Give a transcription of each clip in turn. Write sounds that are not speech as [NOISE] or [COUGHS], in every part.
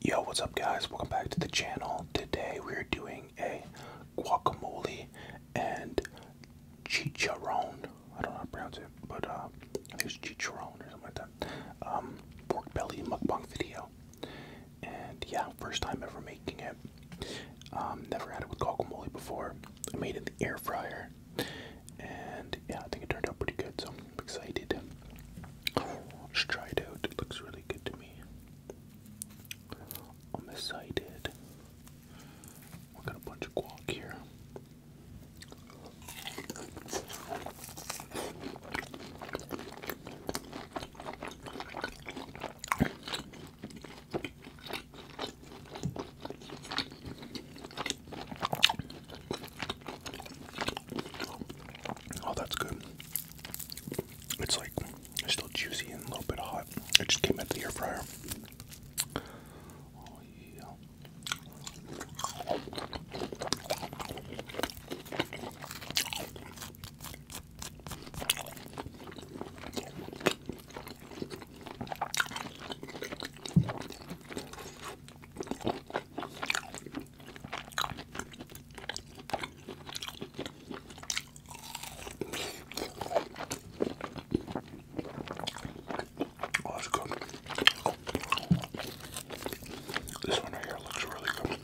Yo, what's up guys? Welcome back to the channel. Today we're doing a guacamole and chicharron. I don't know how to pronounce it, but uh, I think it's chicharron or something like that. Um, pork belly mukbang video. And yeah, first time ever making it. Um, never had it with guacamole before. I made it in the air fryer. And yeah, I think it turned out pretty good. So excited. Let's try it out. It looks really good to me. I'm excited. We got a bunch of guac here. Oh, that's good. It's like it's still juicy and a little bit hot. It just came out of the air fryer. Oh, Oh, that's good. This one right here looks really good.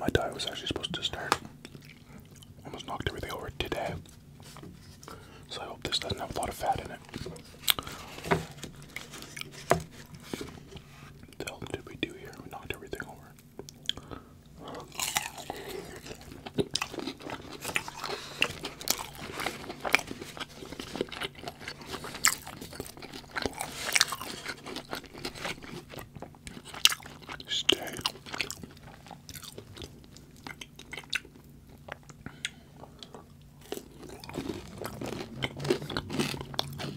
My diet was actually supposed to start. Almost knocked everything over today. So I hope this doesn't have a lot of fat in it. what did we do here? We knocked everything over. Stay.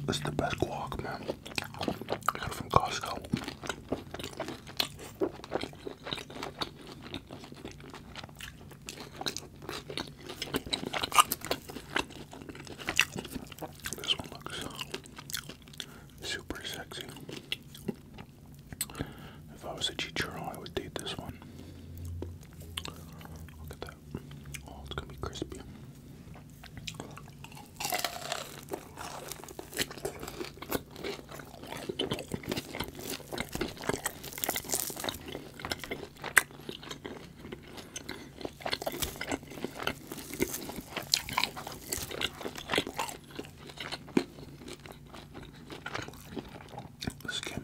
That's the best guac, man. I got from Costco. This one looks super sexy. If I was a Chichiro, I would date this one. Look at that. Oh, it's gonna be crispy. The skin.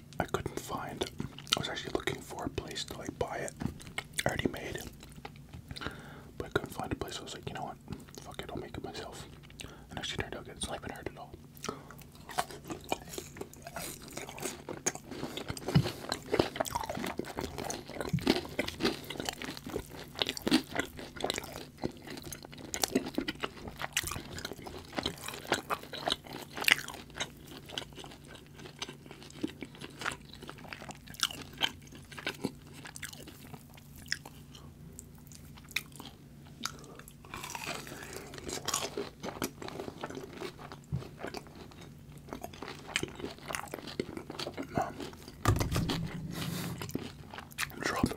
I couldn't find. I was actually looking for a place to like buy it. I already made, but I couldn't find a place. I was like, you know what? Fuck it, I'll make it myself. And actually turned out good. It's not even hurt at all. Drop.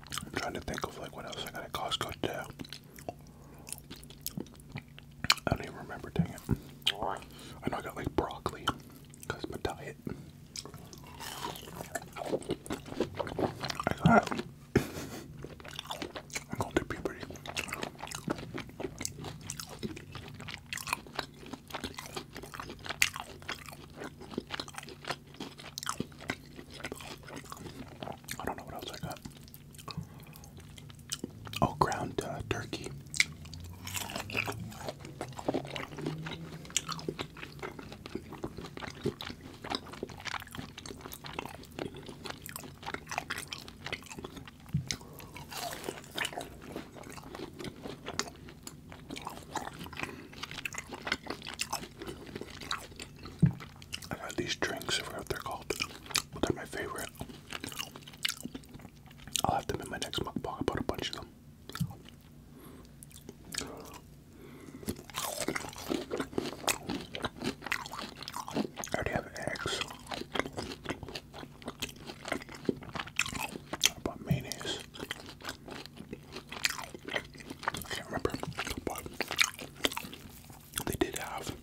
I'm trying to think of like what else I got at Costco today. I don't even remember, dang it. I know I got like broccoli because my diet. I got [COUGHS] I'm going through puberty. I don't know what else I got. Oh, ground uh, turkey i got these drinks, I forgot what they're called, but they're my favorite. I'll have them in my next mukbang. I bought a bunch of them. I already have eggs. I bought mayonnaise. I can't remember, but they did have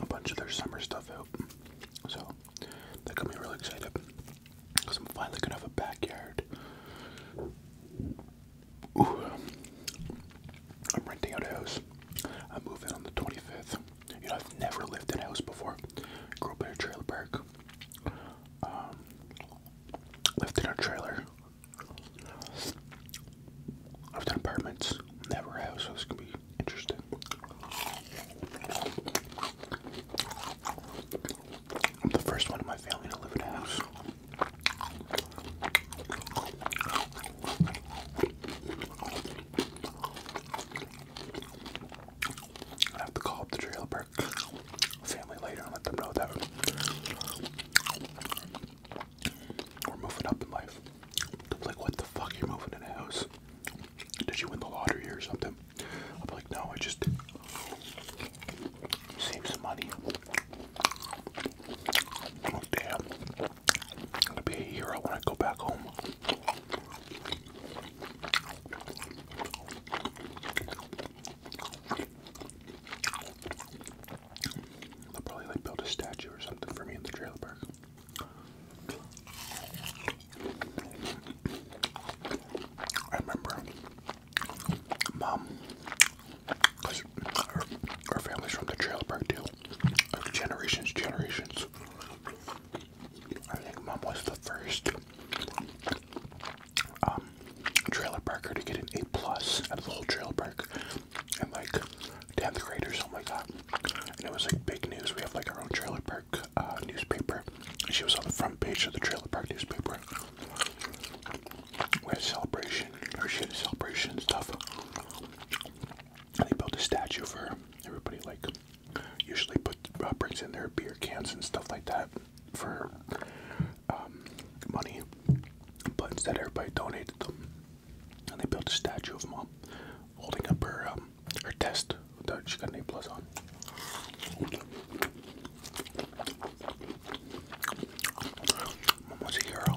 a bunch of their summer stuff out. So that got me really excited because I'm finally gonna have a backyard. Ooh, I'm renting out a house. I am moving on the 25th. You know, I've never lived in a house before. Grew up in a trailer park. Um, lived in a trailer I've done apartments, never have, so this can be interesting. I'm the first one in my family to live in a house. I have to call up the trailer family later and let them know that we're moving up in life. like, what the fuck, you're moving in a house? Did you win the lottery or something? I'll like, no, I just saved some money. Oh, damn. I'm gonna be a hero when I go back home. They'll probably like build a statue or something for me in the trailer park. I remember mom, because family's from the trailer park too, generations, generations. I think mom was the first um, trailer parker to get an A plus out of the whole trailer park, and like tenth grade or something like that. And it was like big news. We have like our own trailer park uh, newspaper. She was on the front page of the trailer park newspaper. We had a celebration, or she had a celebration and stuff. And they built a statue for her. Everybody like usually put uh, in their beer cans and stuff like that for um, money, but instead everybody donated them, and they built a statue of mom holding up her um, her test that she got an A plus on. Mom was a hero.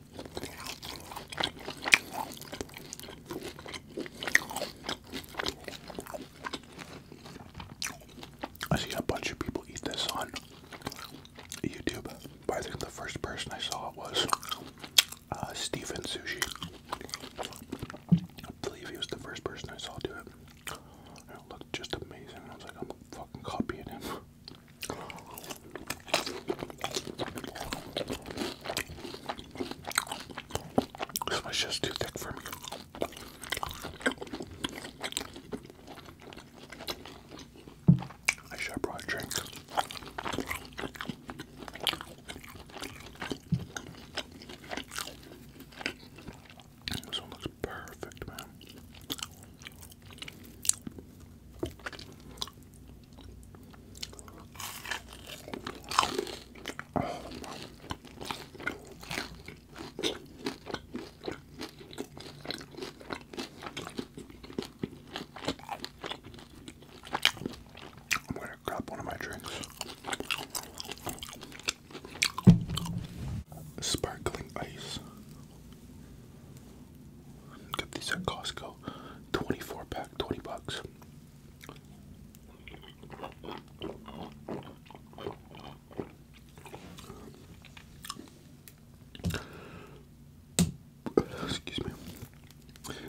I see a bunch of people eat this on YouTube, but I think the first person I saw was uh, Stephen Sushi. I believe he was the first person I saw do it. it looked just amazing. I was like, I'm fucking copying him. This was just too thick for me. I should have drink. This one looks perfect, man. I'm gonna grab one of my drinks. Sparkling ice. Get these at Costco. 24 pack, 20 bucks. Excuse me.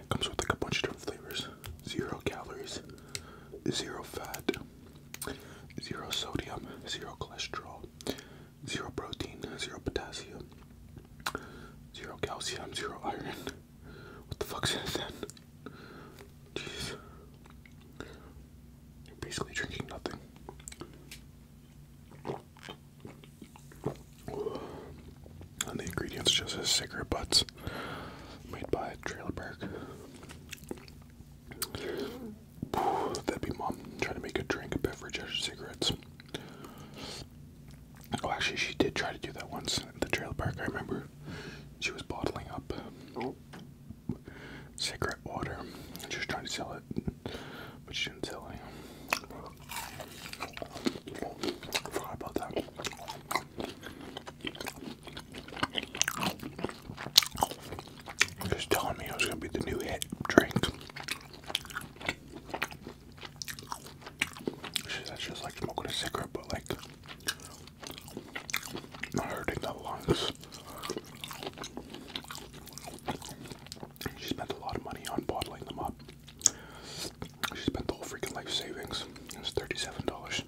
Comes with like a bunch of different flavors. Zero calories, zero fat, zero sodium, zero cholesterol, zero protein, zero potassium, zero calcium, zero iron. What the fuck in it Jeez. You're basically drinking nothing. And the ingredients just as cigarette butts made by Trailerberg. That'd be mom trying to make a drink, a beverage cigarettes. Oh, actually, she did try to do that once at the trail park. I remember she was bottling up oh. cigarette water she was trying to sell it, but she didn't sell any. I about that. Just telling me it was gonna be the new hit drink. That's like smoking a cigarette, but like not hurting the lungs. She spent a lot of money on bottling them up. She spent the whole freaking life savings. It was thirty-seven dollars.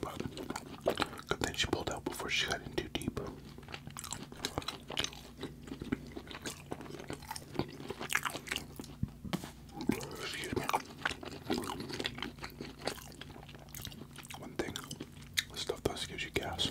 But good she pulled out before she got in too deep. One thing, stuff does gives you gas.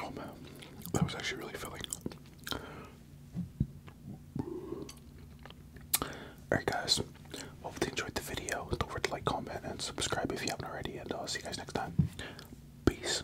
Oh man, that was actually really filling. Alright guys, hope you enjoyed the video. Don't forget to like, comment, and subscribe if you haven't already. And I'll see you guys next time. Peace.